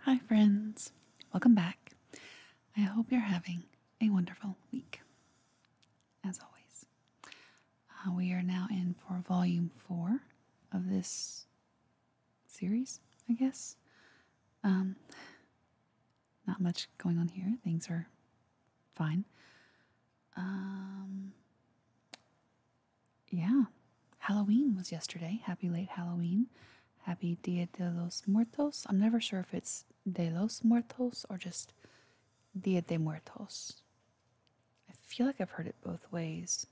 Hi, friends. Welcome back. I hope you're having a wonderful week. As always, uh, we are now in for volume four of this series, I guess. Um, not much going on here, things are fine. Um, yeah, Halloween was yesterday. Happy late Halloween. Happy Dia de los Muertos. I'm never sure if it's de los Muertos or just Dia de Muertos. I feel like I've heard it both ways.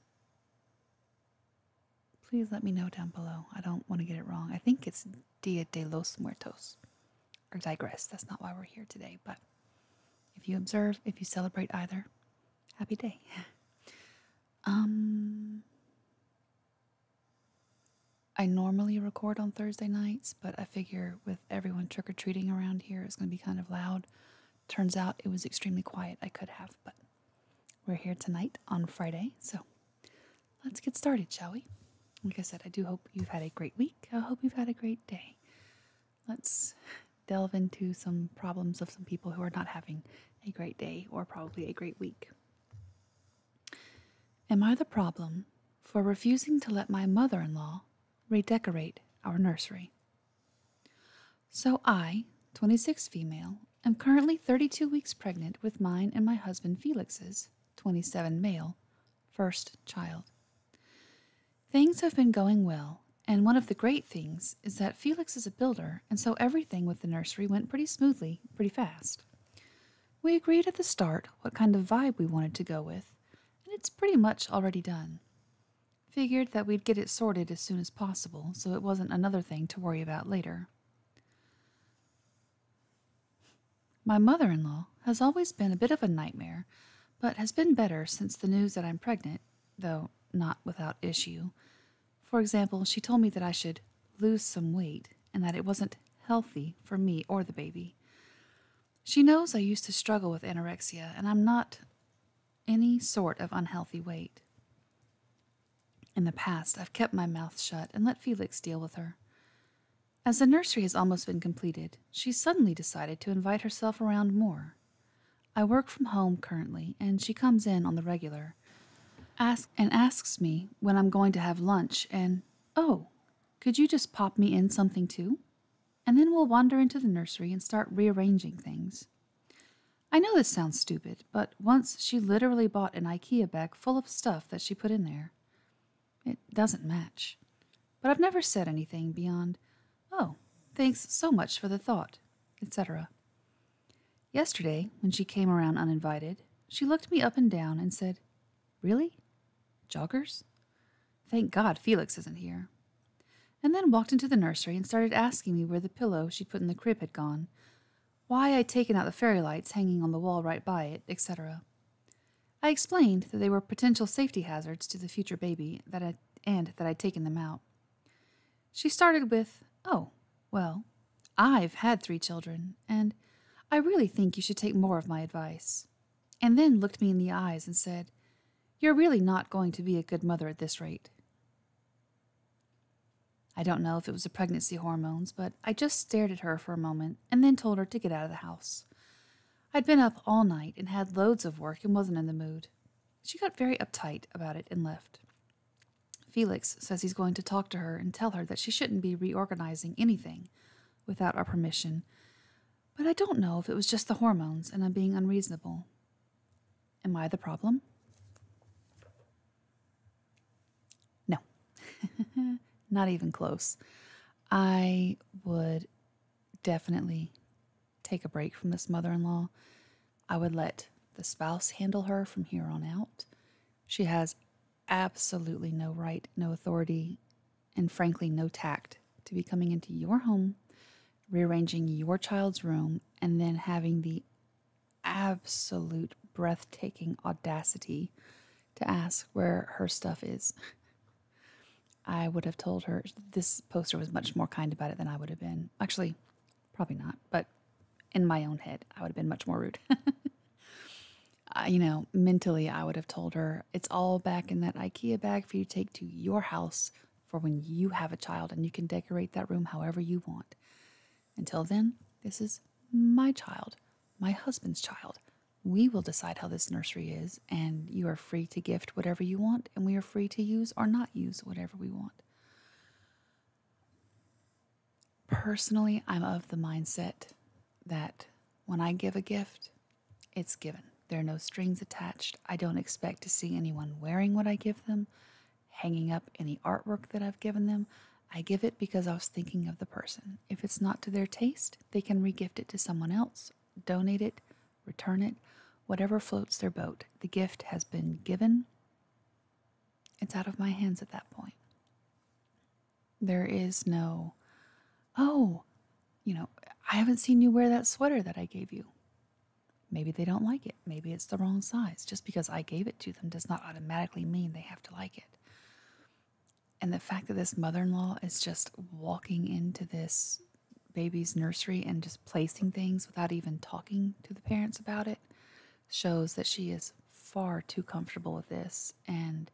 Please let me know down below. I don't want to get it wrong. I think it's Dia de los Muertos. Or digress. That's not why we're here today. But if you observe, if you celebrate either, happy day. Um, I normally record on Thursday nights, but I figure with everyone trick or treating around here, it's going to be kind of loud. Turns out it was extremely quiet. I could have, but we're here tonight on Friday, so let's get started, shall we? Like I said, I do hope you've had a great week. I hope you've had a great day. Let's delve into some problems of some people who are not having a great day or probably a great week. Am I the problem for refusing to let my mother in law redecorate our nursery? So I, 26 female, am currently 32 weeks pregnant with mine and my husband Felix's, 27 male, first child. Things have been going well and one of the great things is that Felix is a builder, and so everything with the nursery went pretty smoothly, pretty fast. We agreed at the start what kind of vibe we wanted to go with, and it's pretty much already done. Figured that we'd get it sorted as soon as possible, so it wasn't another thing to worry about later. My mother in law has always been a bit of a nightmare, but has been better since the news that I'm pregnant, though not without issue. For example, she told me that I should lose some weight and that it wasn't healthy for me or the baby. She knows I used to struggle with anorexia and I'm not any sort of unhealthy weight. In the past, I've kept my mouth shut and let Felix deal with her. As the nursery has almost been completed, she suddenly decided to invite herself around more. I work from home currently, and she comes in on the regular ask, and asks me when I'm going to have lunch, and, oh, could you just pop me in something too? And then we'll wander into the nursery and start rearranging things. I know this sounds stupid, but once she literally bought an IKEA bag full of stuff that she put in there. It doesn't match. But I've never said anything beyond, oh, thanks so much for the thought, etc. Yesterday, when she came around uninvited, she looked me up and down and said, Really? Joggers? Thank God Felix isn't here. And then walked into the nursery and started asking me where the pillow she'd put in the crib had gone, why I'd taken out the fairy lights hanging on the wall right by it, etc. I explained that they were potential safety hazards to the future baby that i and that I'd taken them out. She started with, Oh, well, I've had three children, and I really think you should take more of my advice. And then looked me in the eyes and said, You're really not going to be a good mother at this rate. I don't know if it was the pregnancy hormones, but I just stared at her for a moment and then told her to get out of the house. I'd been up all night and had loads of work and wasn't in the mood. She got very uptight about it and left. Felix says he's going to talk to her and tell her that she shouldn't be reorganizing anything without our permission, but I don't know if it was just the hormones and I'm being unreasonable. Am I the problem? No, not even close. I would definitely take a break from this mother in law I would let the spouse handle her from here on out. She has absolutely no right, no authority, and frankly, no tact to be coming into your home, rearranging your child's room, and then having the absolute breathtaking audacity to ask where her stuff is. I would have told her this poster was much more kind about it than I would have been. Actually, Probably not, but in my own head, I would have been much more rude. you know, mentally, I would have told her, it's all back in that IKEA bag for you to take to your house for when you have a child and you can decorate that room however you want. Until then, this is my child, my husband's child. We will decide how this nursery is, and you are free to gift whatever you want, and we are free to use or not use whatever we want. Personally, I'm of the mindset that when I give a gift, it's given. There are no strings attached. I don't expect to see anyone wearing what I give them, hanging up any artwork that I've given them. I give it because I was thinking of the person. If it's not to their taste, they can regift it to someone else, donate it, return it, whatever floats their boat. The gift has been given. It's out of my hands at that point. There is no, oh, you know, I haven't seen you wear that sweater that I gave you. Maybe they don't like it. Maybe it's the wrong size. Just because I gave it to them does not automatically mean they have to like it. And the fact that this mother in law is just walking into this baby's nursery and just placing things without even talking to the parents about it shows that she is far too comfortable with this and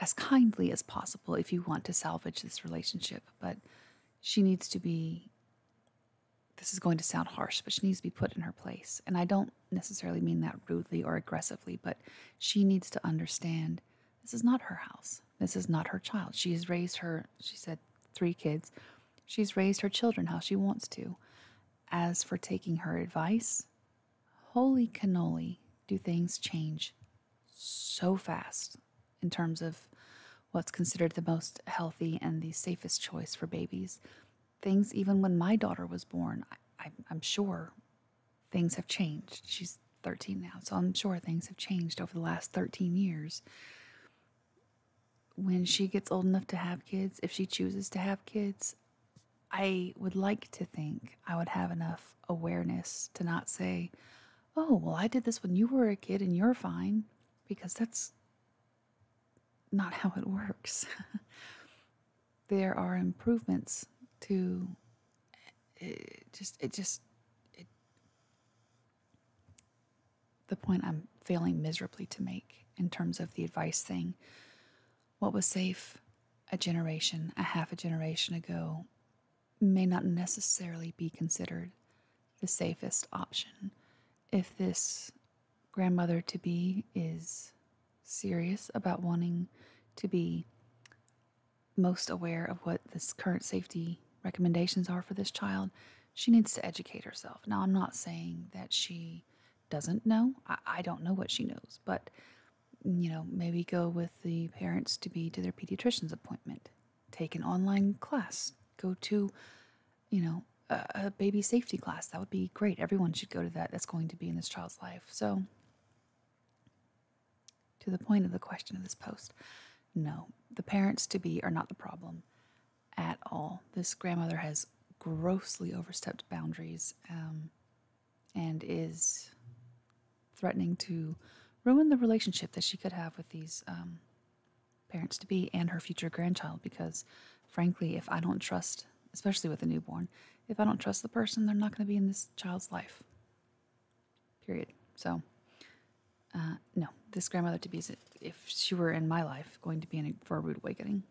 as kindly as possible if you want to salvage this relationship. But she needs to be, this is going to sound harsh, but she needs to be put in her place. And I don't necessarily mean that rudely or aggressively, but she needs to understand this is not her house. This is not her child. She has raised her she said, three kids. She's raised her children how she wants to. As for taking her advice, holy cannoli, do things change so fast in terms of what's considered the most healthy and the safest choice for babies. Things, even when my daughter was born, I, am sure things have changed. She's 13 now, so I'm sure things have changed over the last 13 years when she gets old enough to have kids, if she chooses to have kids, I would like to think I would have enough awareness to not say, oh, well, I did this when you were a kid and you're fine, because that's not how it works. there are improvements to eh, just, it just, it, the point I'm failing miserably to make in terms of the advice thing. What was safe a generation, a half a generation ago, may not necessarily be considered the safest option if this grandmother to be is serious about wanting to be most aware of what this current safety recommendations are for this child, she needs to educate herself. Now, I'm not saying that she doesn't know, I, don't know what she knows, but you know, maybe go with the parents to be to their pediatrician's appointment, take an online class, go to, you know, a baby safety class. That would be great. Everyone should go to that. That's going to be in this child's life. So, to the point of the question of this post, no, the parents to be are not the problem at all. This grandmother has grossly overstepped boundaries um, and is threatening to ruin the relationship that she could have with these um, parents to be and her future grandchild because, frankly, if I don't trust, especially with a newborn, if I don't trust the person, they're not going to be in this child's life. Period. So uh, no, this grandmother to be is, if she were in my life, going to be in a, for a rude awakening.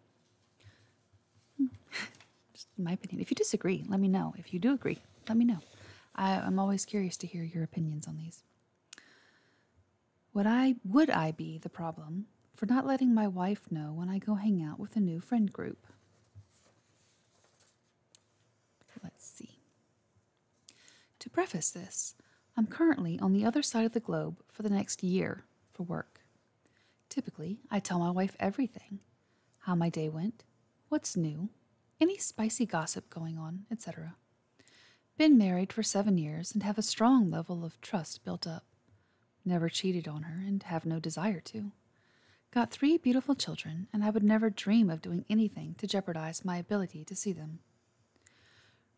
Hmm. Just in my opinion. If you disagree, let me know. If you do agree, let me know. I, I'm always curious to hear your opinions on these. Would I would I be the problem for not letting my wife know when I go hang out with a new friend group? Let's see. To preface this, I'm currently on the other side of the globe for the next year for work. Typically, I tell my wife everything how my day went, what's new, any spicy gossip going on, etc. Been married for seven years and have a strong level of trust built up. Never cheated on her and have no desire to. Got three beautiful children, and I would never dream of doing anything to jeopardize my ability to see them.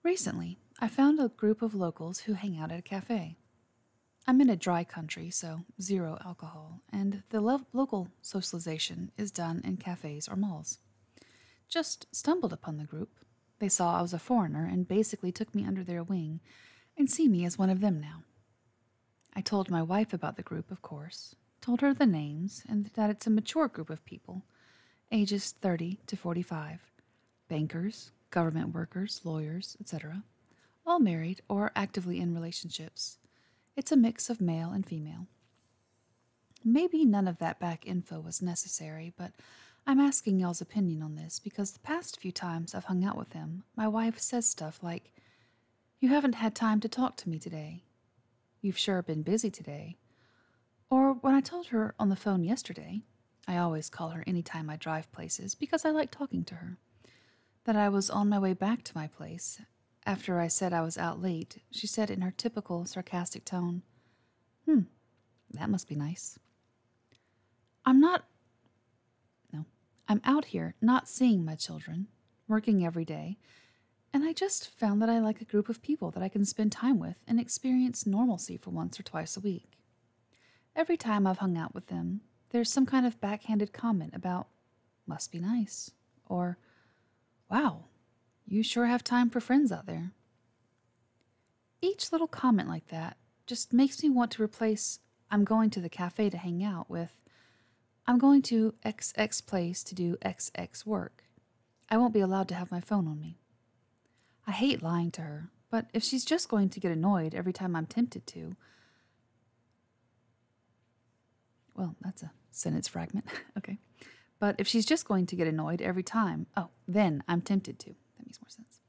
Recently, I found a group of locals who hang out at a cafe. I'm in a dry country, so zero alcohol, and the local socialization is done in cafes or malls. Just stumbled upon the group. They saw I was a foreigner and basically took me under their wing and see me as one of them now. I told my wife about the group, of course, told her the names and that it's a mature group of people, ages 30 to 45, bankers, government workers, lawyers, etc., all married or actively in relationships. It's a mix of male and female. Maybe none of that back info was necessary, but I'm asking y'all's opinion on this because the past few times I've hung out with him, my wife says stuff like, You haven't had time to talk to me today. You've sure been busy today. Or when I told her on the phone yesterday, I always call her any time I drive places because I like talking to her, that I was on my way back to my place. After I said I was out late, she said in her typical sarcastic tone, Hmm, that must be nice. I'm not. No, I'm out here not seeing my children, working every day, and I just found that I like a group of people that I can spend time with and experience normalcy for once or twice a week. Every time I've hung out with them, there's some kind of backhanded comment about, must be nice, or, wow, you sure have time for friends out there. Each little comment like that just makes me want to replace, I'm going to the cafe to hang out with, I'm going to XX place to do XX work, I won't be allowed to have my phone on me. I hate lying to her, but if she's just going to get annoyed every time I'm tempted to. Well, that's a sentence fragment. okay. But if she's just going to get annoyed every time, oh, then I'm tempted to. That makes more sense.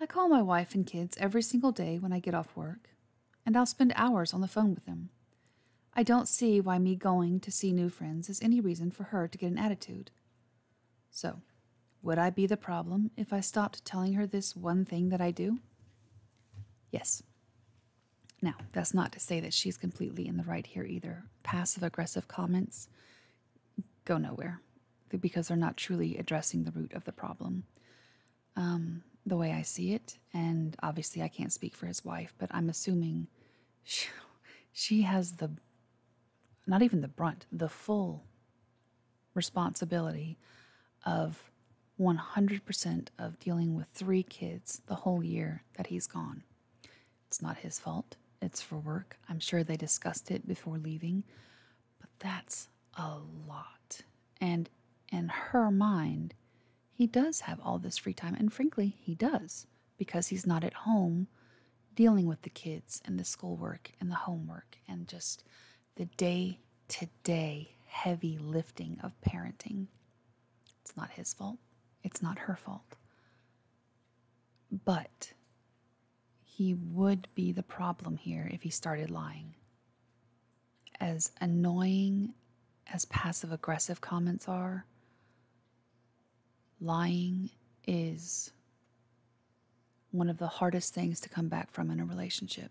I call my wife and kids every single day when I get off work, and I'll spend hours on the phone with them. I don't see why me going to see new friends is any reason for her to get an attitude. So, would I be the problem if I stopped telling her this one thing that I do? Yes. Now, that's not to say that she's completely in the right here either. Passive aggressive comments go nowhere because they're not truly addressing the root of the problem. Um, the way I see it, and obviously I can't speak for his wife, but I'm assuming she, has the not even the brunt, the full responsibility of 100% of dealing with three kids the whole year that he's gone. It's not his fault, it's for work. I'm sure they discussed it before leaving, but that's a lot. And in her mind, he does have all this free time, and frankly, he does because he's not at home dealing with the kids and the schoolwork and the homework and just the day to day heavy lifting of parenting. It's not his fault, it's not her fault. But he would be the problem here if he started lying. As annoying as passive aggressive comments are, Lying is one of the hardest things to come back from in a relationship.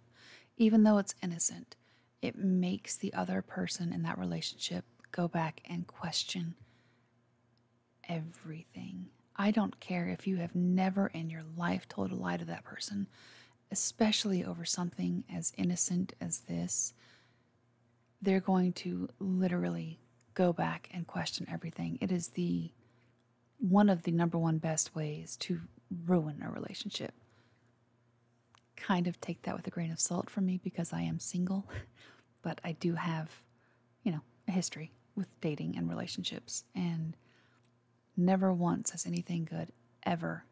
Even though it's innocent, it makes the other person in that relationship go back and question everything. I don't care if you have never in your life told a lie to that person, especially over something as innocent as this they're going to literally go back and question everything. It is the one of the number one best ways to ruin a relationship. Kind of take that with a grain of salt for me because I am single, but I do have, you know, a history with dating and relationships. And never once has anything good ever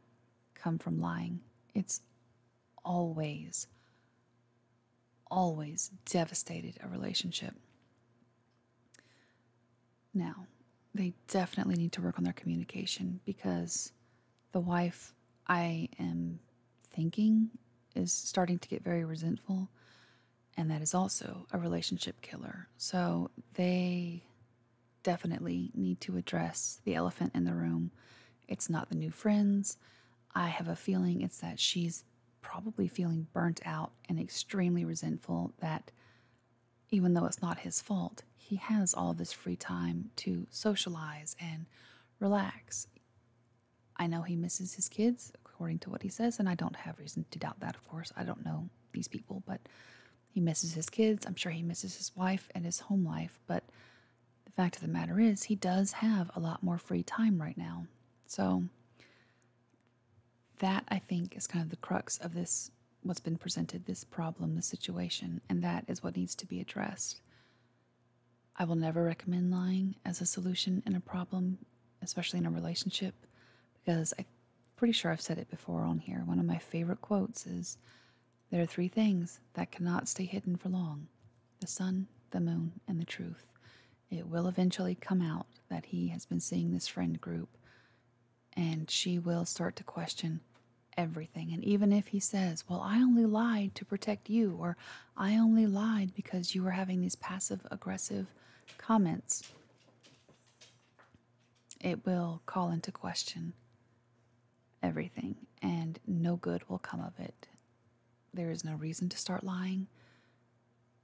come from lying. It's always always devastated a relationship. Now, they definitely need to work on their communication because the wife I am thinking is starting to get very resentful, and that is also a relationship killer. So they definitely need to address the elephant in the room. It's not the new friends. I have a feeling it's that she's probably feeling burnt out and extremely resentful that even though it's not his fault, he has all this free time to socialize and relax. I know he misses his kids, according to what he says, and I don't have reason to doubt that, of course. I don't know these people, but he misses his kids. I'm sure he misses his wife and his home life, but the fact of the matter is, he does have a lot more free time right now. So that I think is kind of the crux of this what's been presented, this problem, this situation, and that is what needs to be addressed. I will never recommend lying as a solution in a problem, especially in a relationship, because I'm pretty sure I've said it before on here. One of my favorite quotes is there are three things that cannot stay hidden for long the sun, the moon, and the truth. It will eventually come out that he has been seeing this friend group, and she will start to question everything. And even if he says, Well, I only lied to protect you, or I only lied because you were having these passive aggressive comments, it will call into question everything, and no good will come of it. There is no reason to start lying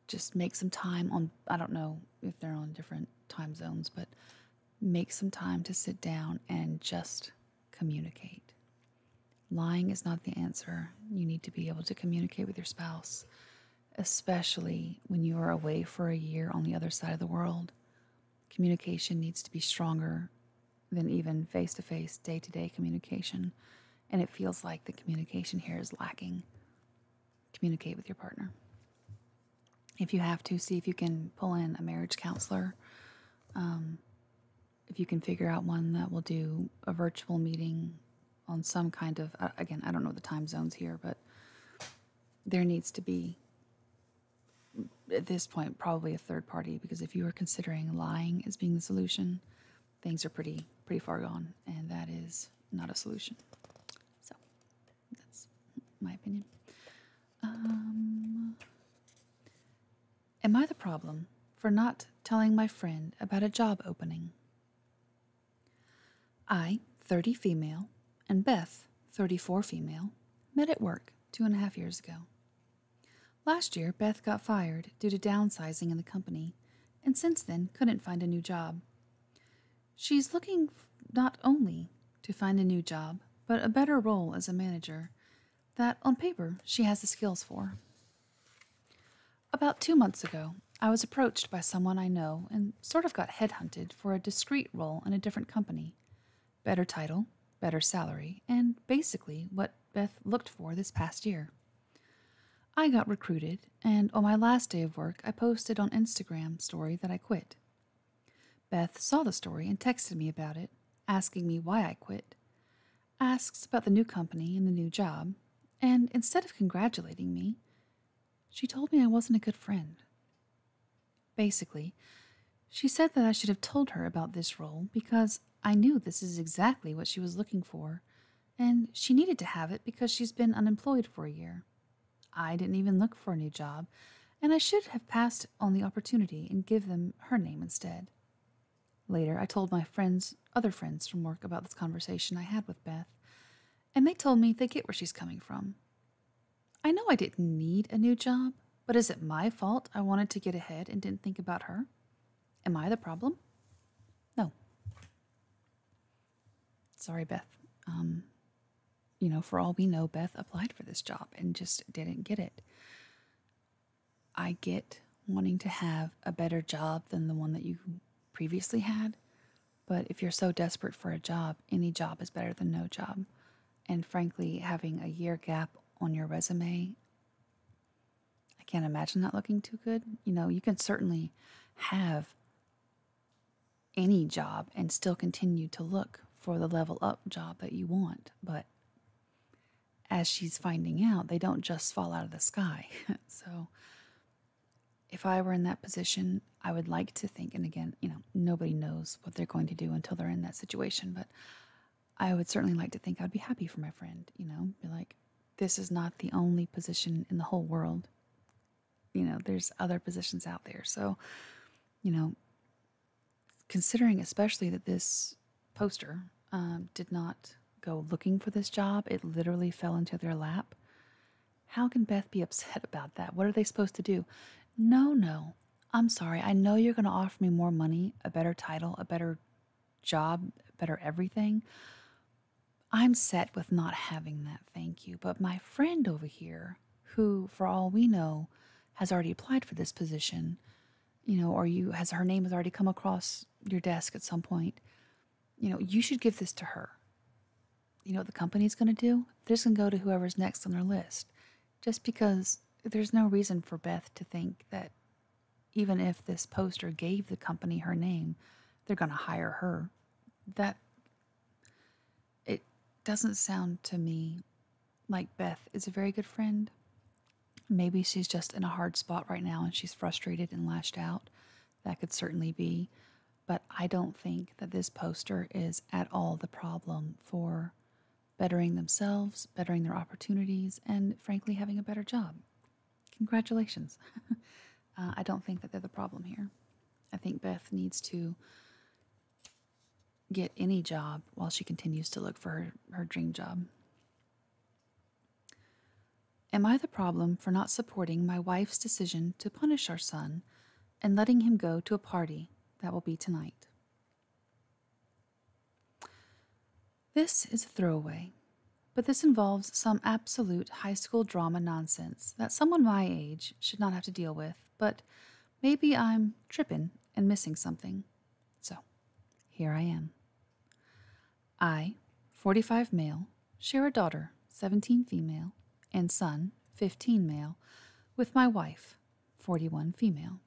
just make some time on I don't know if they're on different time zones, but make some time to sit down and just communicate. Lying is not the answer. You need to be able to communicate with your spouse, especially when you are away for a year on the other side of the world. Communication needs to be stronger than even face to face, day to day communication. And it feels like the communication here is lacking. Communicate with your partner. If you have to, see if you can pull in a marriage counselor. Um, if you can figure out one that will do a virtual meeting on some kind of, again, I don't know the time zones here, but there needs to be at this point, probably a third party, because if you are considering lying as being the solution, things are pretty pretty far gone, and that is not a solution. So that's my opinion. Um, am I the problem for not telling my friend about a job opening? I, 30 female, and Beth, 34 female, met at work two and a half years ago. Last year, Beth got fired due to downsizing in the company and since then couldn't find a new job. She's looking not only to find a new job, but a better role as a manager that on paper she has the skills for. About two months ago, I was approached by someone I know and sort of got headhunted for a discreet role in a different company. Better title, better salary, and basically what Beth looked for this past year. I got recruited, and on my last day of work, I posted on Instagram story that I quit. Beth saw the story and texted me about it, asking me why I quit, asks about the new company and the new job, and instead of congratulating me, she told me I wasn't a good friend. Basically, she said that I should have told her about this role because I knew this is exactly what she was looking for and she needed to have it because she's been unemployed for a year. I didn't even look for a new job, and I should have passed on the opportunity and give them her name instead. Later, I told my friends, other friends from work, about this conversation I had with Beth, and they told me they get where she's coming from. I know I didn't need a new job, but is it my fault I wanted to get ahead and didn't think about her? Am I the problem? No. Sorry, Beth. Um, you know, for all we know, Beth applied for this job and just didn't get it. I get wanting to have a better job than the one that you previously had, but if you're so desperate for a job, any job is better than no job. And frankly, having a year gap on your resume I can't imagine not looking too good. You know, you can certainly have any job and still continue to look for the level up job that you want. But as she's finding out, they don't just fall out of the sky. so if I were in that position, I would like to think, and again, you know, nobody knows what they're going to do until they're in that situation, but I would certainly like to think I'd be happy for my friend, you know, be like, this is not the only position in the whole world. You know, there's other positions out there. So, you know, considering especially that this poster um, did not go looking for this job, it literally fell into their lap. How can Beth be upset about that? What are they supposed to do? No, no. I'm sorry. I know you're going to offer me more money, a better title, a better job, better everything, I'm set with not having that, thank you. But my friend over here, who, for all we know, has already applied for this position, you know, or you has her name has already come across your desk at some point, you know, you should give this to her. You know what the company's gonna do? They're just gonna go to whoever's next on their list. Just because there's no reason for Beth to think that even if this poster gave the company her name, they're going to hire her. That it doesn't sound to me like Beth is a very good friend. Maybe she's just in a hard spot right now and she's frustrated and lashed out. That could certainly be. But I don't think that this poster is at all the problem for bettering themselves, bettering their opportunities, and frankly, having a better job. Congratulations. Uh, I don't think that they're the problem here. I think Beth needs to get any job while she continues to look for her, her dream job. Am I the problem for not supporting my wife's decision to punish our son and letting him go to a party that will be tonight? This is a throwaway, but this involves some absolute high school drama nonsense that someone my age should not have to deal with, but maybe I'm tripping and missing something. So, here I am. I, 45 male, share a daughter, 17 female, and son, 15 male, with my wife, 41 female.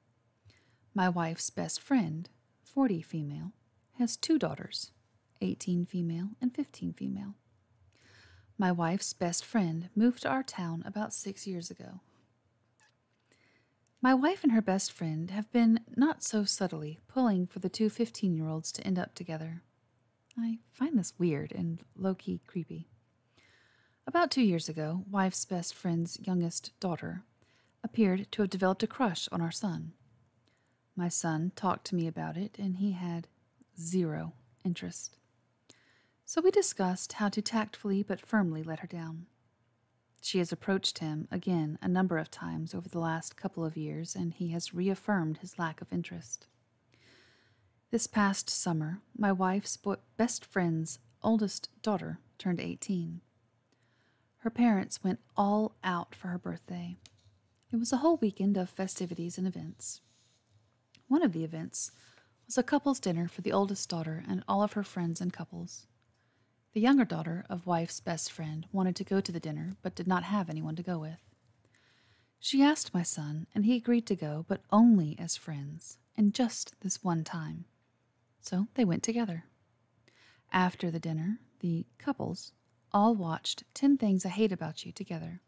My wife's best friend, 40 female, has two daughters, 18 female and 15 female. My wife's best friend moved to our town about six years ago. My wife and her best friend have been, not so subtly, pulling for the 215 year olds to end up together. I find this weird and low key creepy. About two years ago, wife's best friend's youngest daughter appeared to have developed a crush on our son. My son talked to me about it, and he had zero interest. So we discussed how to tactfully but firmly let her down. She has approached him again a number of times over the last couple of years, and he has reaffirmed his lack of interest. This past summer, my wife's best friend's oldest daughter turned 18. Her parents went all out for her birthday. It was a whole weekend of festivities and events. One of the events was a couple's dinner for the oldest daughter and all of her friends and couples. The younger daughter of wife's best friend wanted to go to the dinner but did not have anyone to go with. She asked my son, and he agreed to go, but only as friends, and just this one time. So they went together. After the dinner, the couples all watched 10 Things I Hate About You together.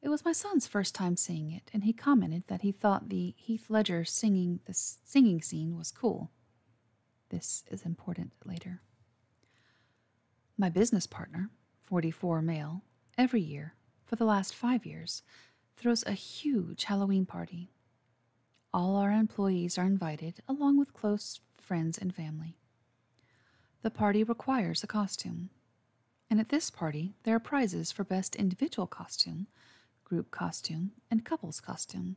It was my son's first time seeing it, and he commented that he thought the Heath Ledger singing the singing scene was cool. This is important later. My business partner, 44 male, every year for the last 5 years throws a huge Halloween party. All our employees are invited along with close friends and family. The party requires a costume. And at this party, there are prizes for best individual costume, group costume, and couples costume.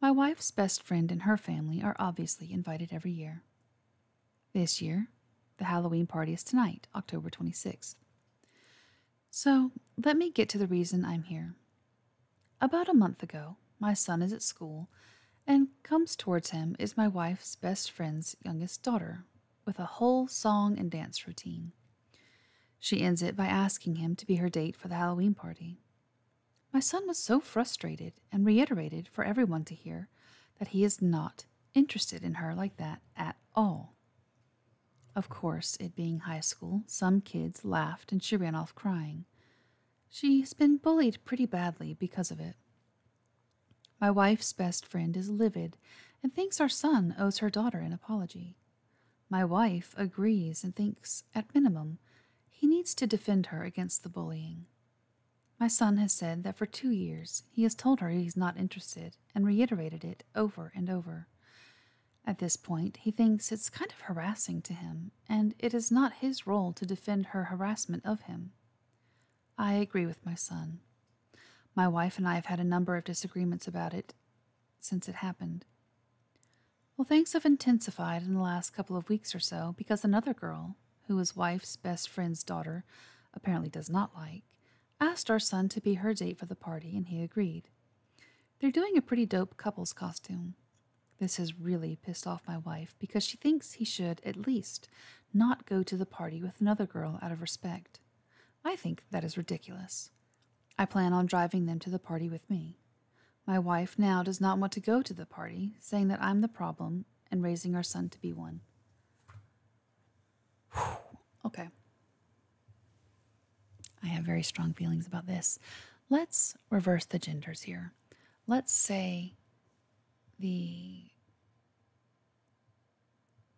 My wife's best friend and her family are obviously invited every year. This year, the Halloween party is tonight, October 26th. So, let me get to the reason I'm here. About a month ago, my son is at school, and comes towards him is my wife's best friend's youngest daughter, with a whole song and dance routine. She ends it by asking him to be her date for the Halloween party. My son was so frustrated and reiterated for everyone to hear that he is not interested in her like that at all. Of course, it being high school, some kids laughed and she ran off crying. She's been bullied pretty badly because of it. My wife's best friend is livid and thinks our son owes her daughter an apology. My wife agrees and thinks, at minimum, he needs to defend her against the bullying. My son has said that for two years he has told her he's not interested and reiterated it over and over. At this point, he thinks it's kind of harassing to him and it is not his role to defend her harassment of him. I agree with my son. My wife and I have had a number of disagreements about it since it happened. Well, things have intensified in the last couple of weeks or so because another girl, who his wife's best friend's daughter apparently does not like, asked our son to be her date for the party, and he agreed. They're doing a pretty dope couple's costume, this has really pissed off my wife because she thinks he should, at least, not go to the party with another girl out of respect. I think that is ridiculous. I plan on driving them to the party with me. My wife now does not want to go to the party, saying that I'm the problem and raising our son to be one. Okay. I have very strong feelings about this. Let's reverse the genders here let's say the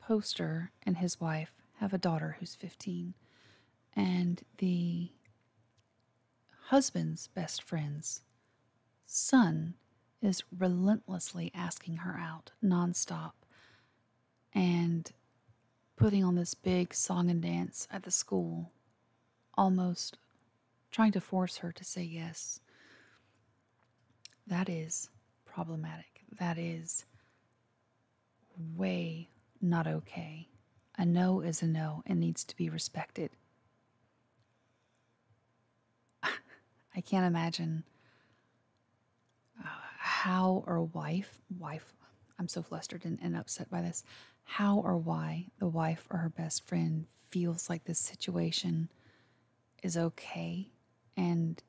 poster and his wife have a daughter who's 15, and the husband's best friend's son is relentlessly asking her out nonstop and putting on this big song and dance at the school almost trying to force her to say yes. That is problematic. That is way not okay. A no is a no and needs to be respected. I can't imagine uh, how or wife, wife, I'm so flustered and, and upset by this, how or why the wife or her best friend feels like this situation is okay and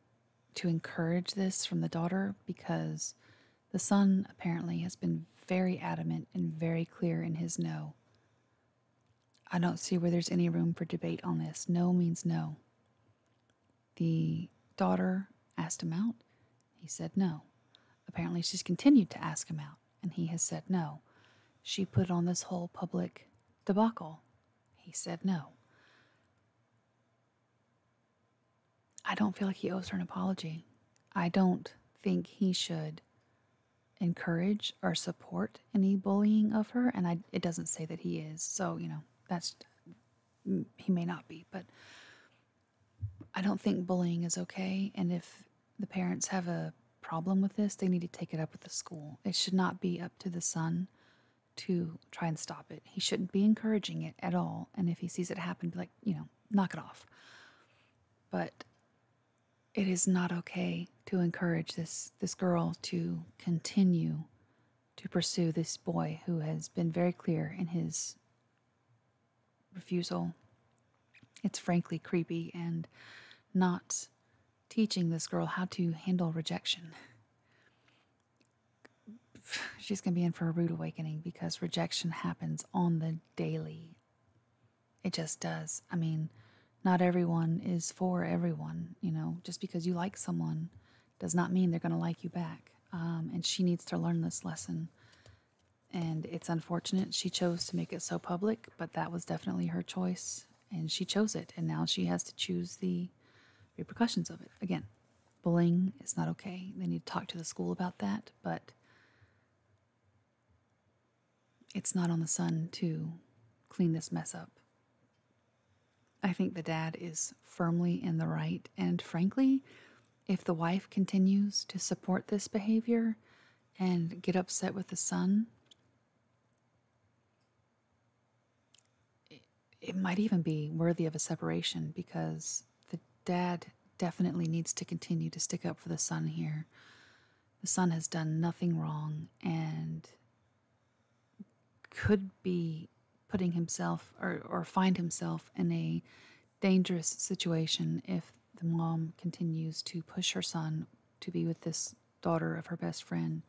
to encourage this from the daughter because the son apparently has been very adamant and very clear in his no. I don't see where there's any room for debate on this. No means no. The daughter asked him out. He said no. Apparently, she's continued to ask him out and he has said no. She put on this whole public debacle. He said no. I don't feel like he owes her an apology. I don't think he should encourage or support any bullying of her and I, it doesn't say that he is so you know that's he may not be but i don't think bullying is okay and if the parents have a problem with this, they need to take it up with the school. It should not be up to the son to try and stop it. He shouldn't be encouraging it at all. And if he sees it happen, be like, you know, knock it off. But it is not okay to encourage this this girl to continue to pursue this boy who has been very clear in his refusal it's frankly creepy and not teaching this girl how to handle rejection. She's going to be in for a rude awakening because rejection happens on the daily. It just does. I mean, not everyone is for everyone, you know. Just because you like someone does not mean they're going to like you back. Um, and she needs to learn this lesson and it's unfortunate she chose to make it so public, but that was definitely her choice. And she chose it. And now she has to choose the repercussions of it. Again, bullying is not okay. They need to talk to the school about that, but it's not on the son to clean this mess up. I think the dad is firmly in the right. And frankly, if the wife continues to support this behavior, and get upset with the son. It, it might even be worthy of a separation because the dad definitely needs to continue to stick up for the son here. The son has done nothing wrong and could be putting himself or, or find himself in a dangerous situation if the mom continues to push her son to be with this daughter of her best friend,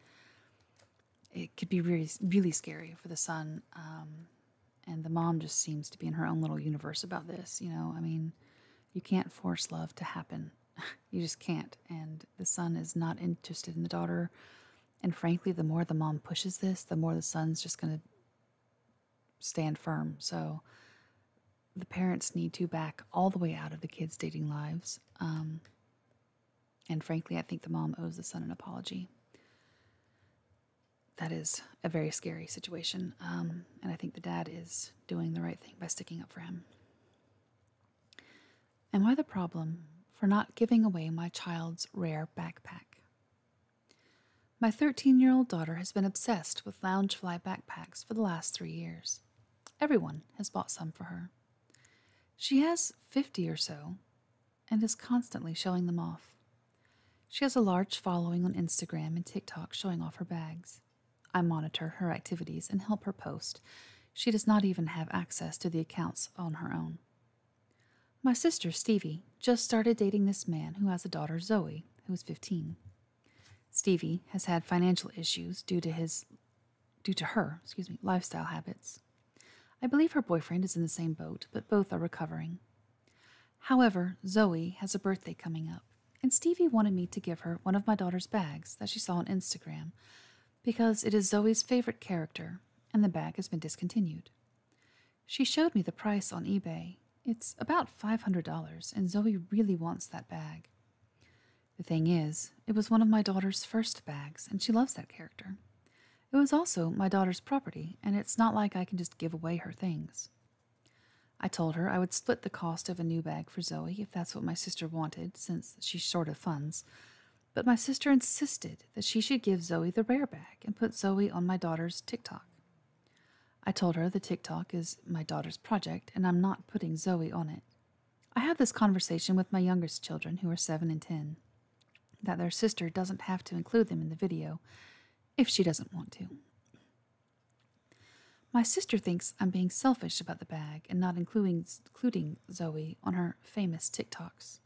it could be really, really scary for the son. Um, and the mom just seems to be in her own little universe about this. You know, I mean, you can't force love to happen. you just can't. And the son is not interested in the daughter. And frankly, the more the mom pushes this, the more the son's just going to stand firm. So the parents need to back all the way out of the kids' dating lives. Um, and frankly, I think the mom owes the son an apology. That is a very scary situation. Um, and I think the dad is doing the right thing by sticking up for him. Am I the problem for not giving away my child's rare backpack? My 13 year old daughter has been obsessed with Loungefly backpacks for the last three years. Everyone has bought some for her. She has fifty or so and is constantly showing them off. She has a large following on Instagram and TikTok showing off her bags. I monitor her activities and help her post. She does not even have access to the accounts on her own. My sister, Stevie, just started dating this man who has a daughter, Zoe, who is 15. Stevie has had financial issues due to his due to her, excuse me, lifestyle habits. I believe her boyfriend is in the same boat, but both are recovering. However, Zoe has a birthday coming up, and Stevie wanted me to give her one of my daughter's bags that she saw on Instagram because it is Zoe's favorite character and the bag has been discontinued. She showed me the price on eBay. It's about $500, and Zoe really wants that bag. The thing is, it was one of my daughter's first bags, and she loves that character. It was also my daughter's property, and it's not like I can just give away her things. I told her I would split the cost of a new bag for Zoe if that's what my sister wanted, since she's short of funds, but my sister insisted that she should give Zoe the rare bag and put Zoe on my daughter's tick TikTok. I told her the TikTok is my daughter's project and I'm not putting Zoe on it. I have this conversation with my youngest children, who are 7 and 10, that their sister doesn't have to include them in the video if she doesn't want to. My sister thinks I'm being selfish about the bag and not including, including Zoe on her famous TikToks.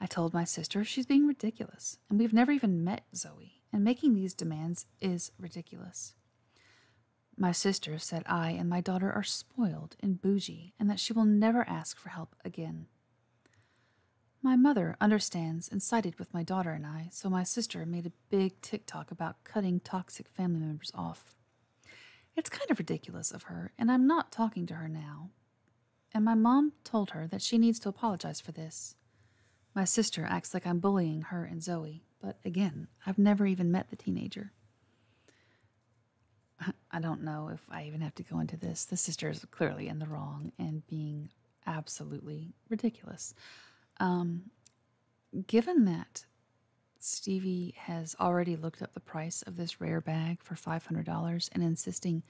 I told my sister she's being ridiculous, and we've never even met Zoe, and making these demands is ridiculous. My sister said I and my daughter are spoiled and bougie and that she will never ask for help again. My mother understands and sided with my daughter and I, so my sister made a big TikTok about cutting toxic family members off. It's kind of ridiculous of her, and I'm not talking to her now. And my mom told her that she needs to apologize for this. My sister acts like I'm bullying her and Zoe but again, I've never even met the teenager. I don't know if I even have to go into this. The sister is clearly in the wrong and being absolutely ridiculous. Um, given that Stevie has already looked up the price of this rare bag for $500 and insisting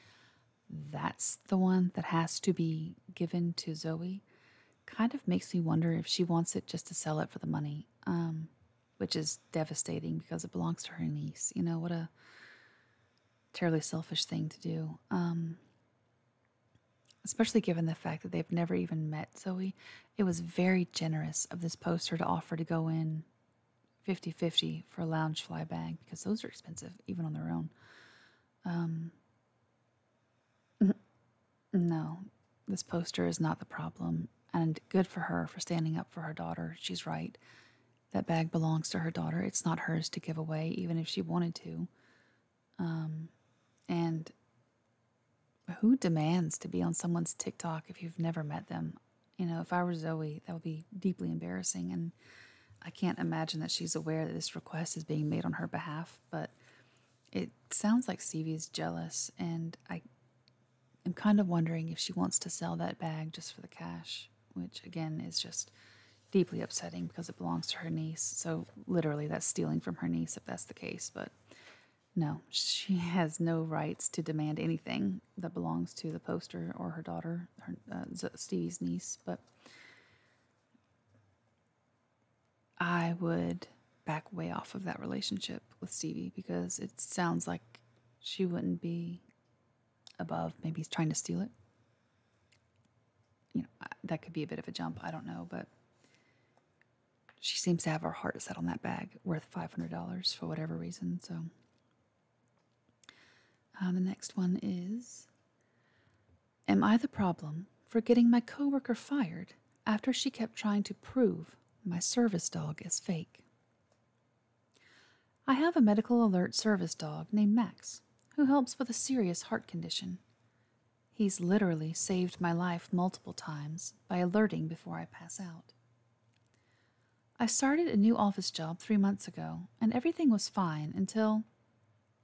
that's the one that has to be given to Zoe, kind of makes me wonder if she wants it just to sell it for the money, um, which is devastating because it belongs to her niece. You know, what a terribly selfish thing to do. Um, especially given the fact that they've never even met Zoe. It was very generous of this poster to offer to go in 50 50 for a lounge fly bag because those are expensive, even on their own. Um, no, this poster is not the problem, and good for her for standing up for her daughter. She's right. That bag belongs to her daughter. It's not hers to give away, even if she wanted to. Um, and who demands to be on someone's TikTok if you've never met them? You know, if I were Zoe, that would be deeply embarrassing. And I can't imagine that she's aware that this request is being made on her behalf, but it sounds like Stevie's jealous, and I am kind of wondering if she wants to sell that bag just for the cash, which again is just deeply upsetting because it belongs to her niece. So, literally, that's stealing from her niece if that's the case. But no, she has no rights to demand anything that belongs to the poster or her daughter, uh, Stevie's niece. But I would back way off of that relationship with Stevie because it sounds like she wouldn't be above maybe he's trying to steal it. You know, that could be a bit of a jump. I don't know, but she seems to have her heart set on that bag worth $500 for whatever reason. So uh, the next one is Am I the problem for getting my coworker fired after she kept trying to prove my service dog is fake. I have a medical alert service dog named Max who helps with a serious heart condition. He's literally saved my life multiple times by alerting before I pass out. I started a new office job three months ago, and everything was fine until,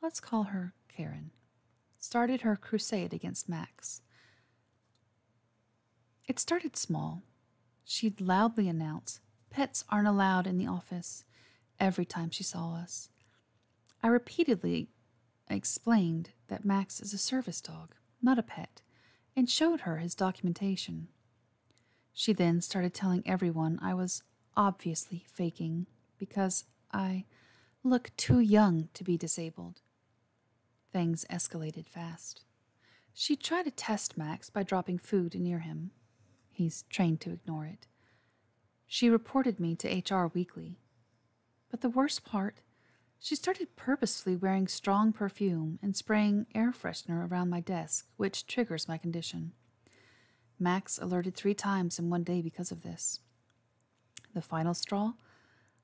let's call her Karen started her crusade against Max. It started small. She'd loudly announce, Pets aren't allowed in the office, every time she saw us. I repeatedly explained that Max is a service dog, not a pet, and showed her his documentation. She then started telling everyone I was obviously faking because I look too young to be disabled Things escalated fast. She'd try to test Max by dropping food near him. He's trained to ignore it. She reported me to HR weekly. But the worst part, she started purposely wearing strong perfume and spraying air freshener around my desk, which triggers my condition. Max alerted three times in one day because of this. The final straw?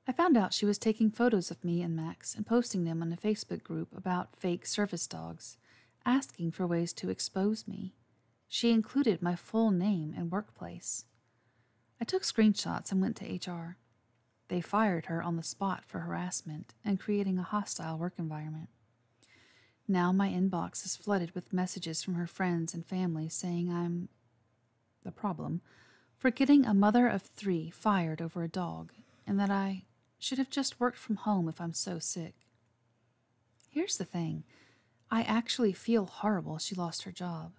I found out she was taking photos of me and Max and posting them on a Facebook group about fake service dogs, asking for ways to expose me. She included my full name and workplace. I took screenshots and went to HR. They fired her on the spot for harassment and creating a hostile work environment. Now my inbox is flooded with messages from her friends and family saying I'm the problem for getting a mother of three fired over a dog, and that I should have just worked from home if I'm so sick. Here's the thing I actually feel horrible she lost her job.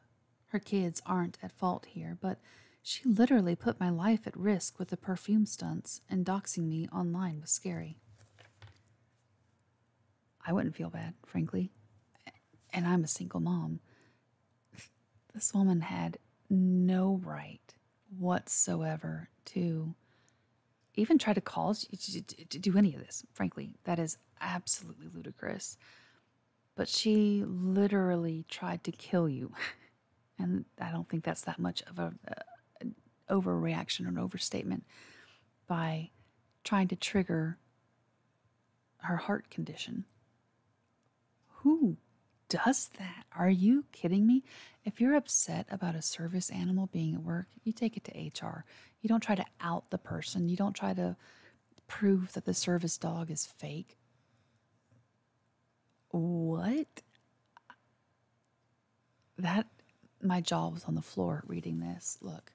Her kids aren't at fault here, but she literally put my life at risk with the perfume stunts, and doxing me online was scary. I wouldn't feel bad, frankly. And I'm a single mom. This woman had no right whatsoever to even try to cause you to do any of this. Frankly, that is absolutely ludicrous. But she literally tried to kill you. And I don't think that's that much of a, overreaction or overstatement by trying to trigger her heart condition. Who does that? Are you kidding me? If you're upset about a service animal being at work, you take it to HR. You don't try to out the person, you don't try to prove that the service dog is fake. What? That, my jaw was on the floor reading this. Look,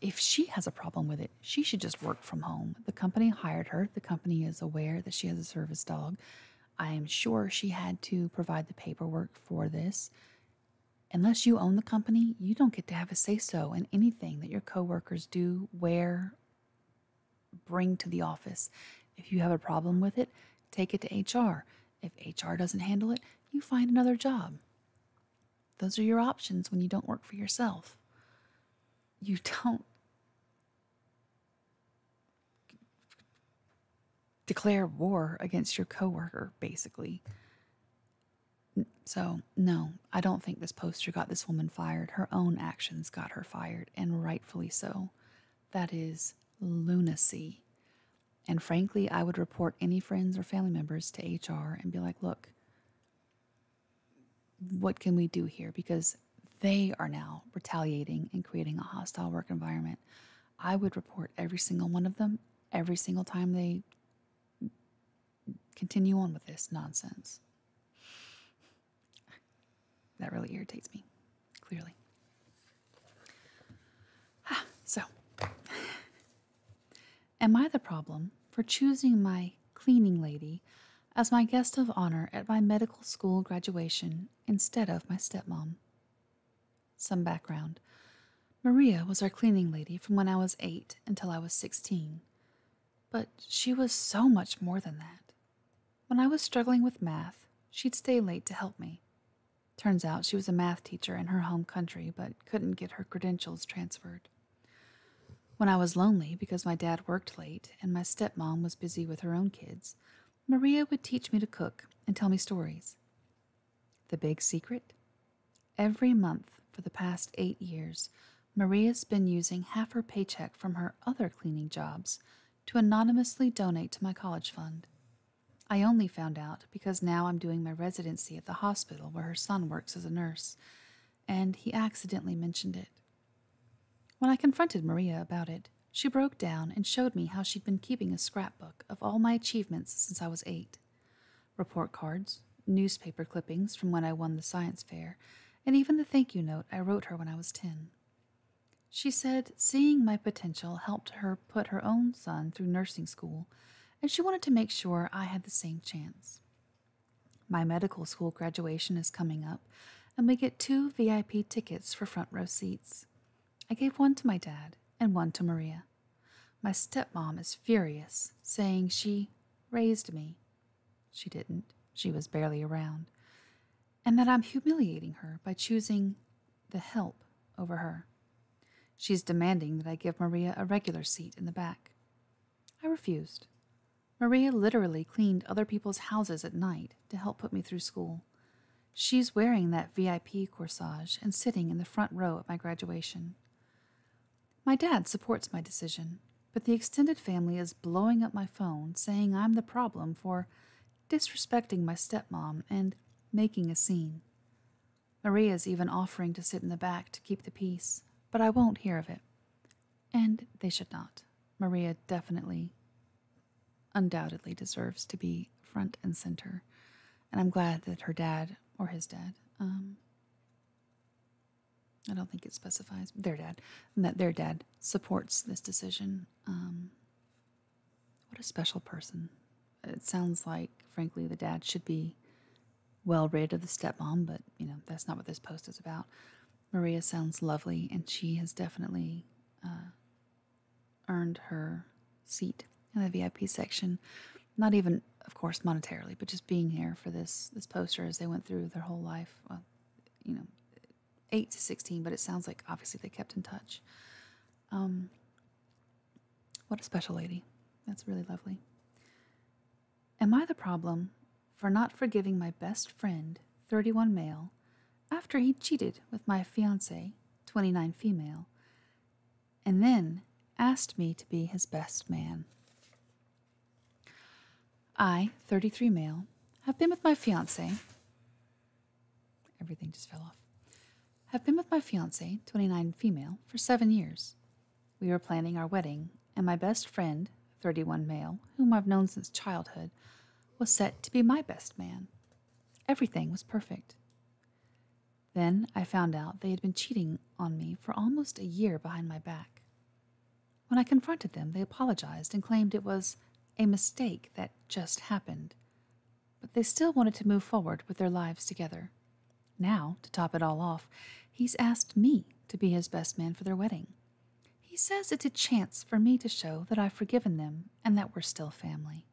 if she has a problem with it, she should just work from home. The company hired her. The company is aware that she has a service dog. I am sure she had to provide the paperwork for this. Unless you own the company, you don't get to have a say so in anything that your coworkers do, wear, bring to the office. If you have a problem with it, take it to HR. If HR doesn't handle it, you find another job. Those are your options when you don't work for yourself. You don't declare war against your coworker, basically. So, no, I don't think this poster got this woman fired. Her own actions got her fired, and rightfully so. That is lunacy. And frankly, I would report any friends or family members to HR and be like, look, what can we do here? Because they are now retaliating and creating a hostile work environment. I would report every single one of them every single time they continue on with this nonsense. That really irritates me, clearly. Ah, so, Am I the problem for choosing my cleaning lady as my guest of honor at my medical school graduation instead of my stepmom? Some background Maria was our cleaning lady from when I was eight until I was 16. But she was so much more than that. When I was struggling with math, she'd stay late to help me. Turns out she was a math teacher in her home country but couldn't get her credentials transferred. When I was lonely because my dad worked late and my stepmom was busy with her own kids, Maria would teach me to cook and tell me stories. The big secret? Every month for the past eight years, Maria's been using half her paycheck from her other cleaning jobs to anonymously donate to my college fund. I only found out because now I'm doing my residency at the hospital where her son works as a nurse, and he accidentally mentioned it. When I confronted Maria about it, she broke down and showed me how she'd been keeping a scrapbook of all my achievements since I was eight report cards, newspaper clippings from when I won the science fair, and even the thank you note I wrote her when I was 10. She said seeing my potential helped her put her own son through nursing school, and she wanted to make sure I had the same chance. My medical school graduation is coming up, and we get two VIP tickets for front row seats. I gave one to my dad and one to Maria. My stepmom is furious, saying she raised me. She didn't, she was barely around, and that I'm humiliating her by choosing the help over her. She's demanding that I give Maria a regular seat in the back. I refused. Maria literally cleaned other people's houses at night to help put me through school. She's wearing that VIP corsage and sitting in the front row at my graduation. My dad supports my decision, but the extended family is blowing up my phone saying I'm the problem for disrespecting my stepmom and making a scene. Maria's even offering to sit in the back to keep the peace, but I won't hear of it. And they should not. Maria definitely, undoubtedly deserves to be front and center. And I'm glad that her dad or his dad, um, I don't think it specifies their dad, that their dad supports this decision. Um, what a special person. It sounds like, frankly, the dad should be well rid of the stepmom, but you know, that's not what this post is about. Maria sounds lovely, and she has definitely uh, earned her seat in the VIP section. Not even, of course, monetarily, but just being here for this this poster as they went through their whole life. Well, you know, eight to sixteen, but it sounds like obviously they kept in touch. Um, what a special lady! That's really lovely. Am I the problem for not forgiving my best friend, 31 male, after he cheated with my fiancee, 29 female, and then asked me to be his best man? I, 33 male, have been with my fiance. Everything just fell off. Have been with my fiancee, 29 female, for seven years. We were planning our wedding, and my best friend, 31 male, whom I've known since childhood, was set to be my best man. Everything was perfect. Then I found out they had been cheating on me for almost a year behind my back. When I confronted them, they apologized and claimed it was a mistake that just happened, but they still wanted to move forward with their lives together. Now, to top it all off, he's asked me to be his best man for their wedding. He says it's a chance for me to show that I've forgiven them and that we're still family.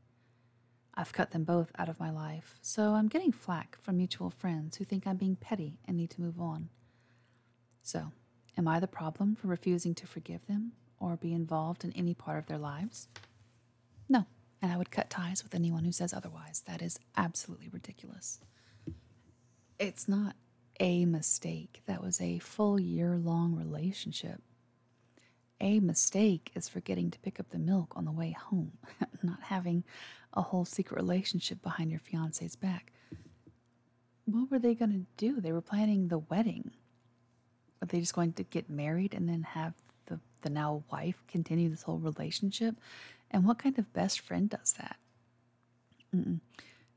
I've cut them both out of my life, so I'm getting flack from mutual friends who think I'm being petty and need to move on. So, am I the problem for refusing to forgive them or be involved in any part of their lives? No, and I would cut ties with anyone who says otherwise. That is absolutely ridiculous. It's not a mistake that was a full year long relationship. A mistake is forgetting to pick up the milk on the way home, not having a whole secret relationship behind your fiance's back. What were they going to do? They were planning the wedding. Were they just going to get married and then have the, the now wife continue this whole relationship? And what kind of best friend does that?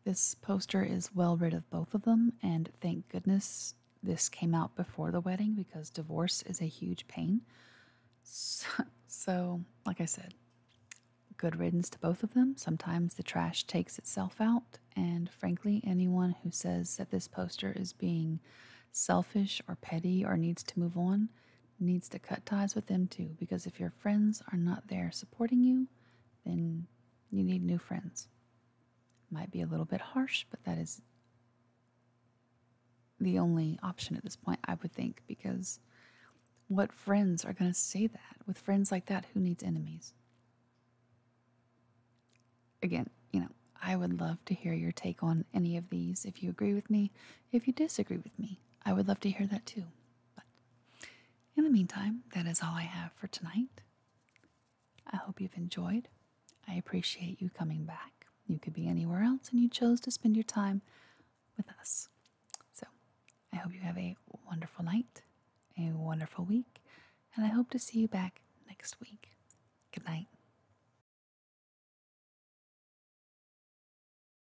This poster is well rid of both of them, and thank goodness this came out before the wedding because divorce is a huge pain. so, like I said, good riddance to both of them. Sometimes the trash takes itself out, and frankly, anyone who says that this poster is being selfish or petty or needs to move on needs to cut ties with them too because if your friends are not there supporting you, then you need new friends. Might be a little bit harsh, but that is the only option at this point, I would think, because what friends are going to say that? With friends like that, who needs enemies? Again, you know, I would love to hear your take on any of these. If you agree with me, if you disagree with me, I would love to hear that too. But in the meantime, that is all I have for tonight. I hope you've enjoyed. I appreciate you coming back. You could be anywhere else and you chose to spend your time with us. So I hope you have a wonderful night, a wonderful week, and I hope to see you back next week. Good night.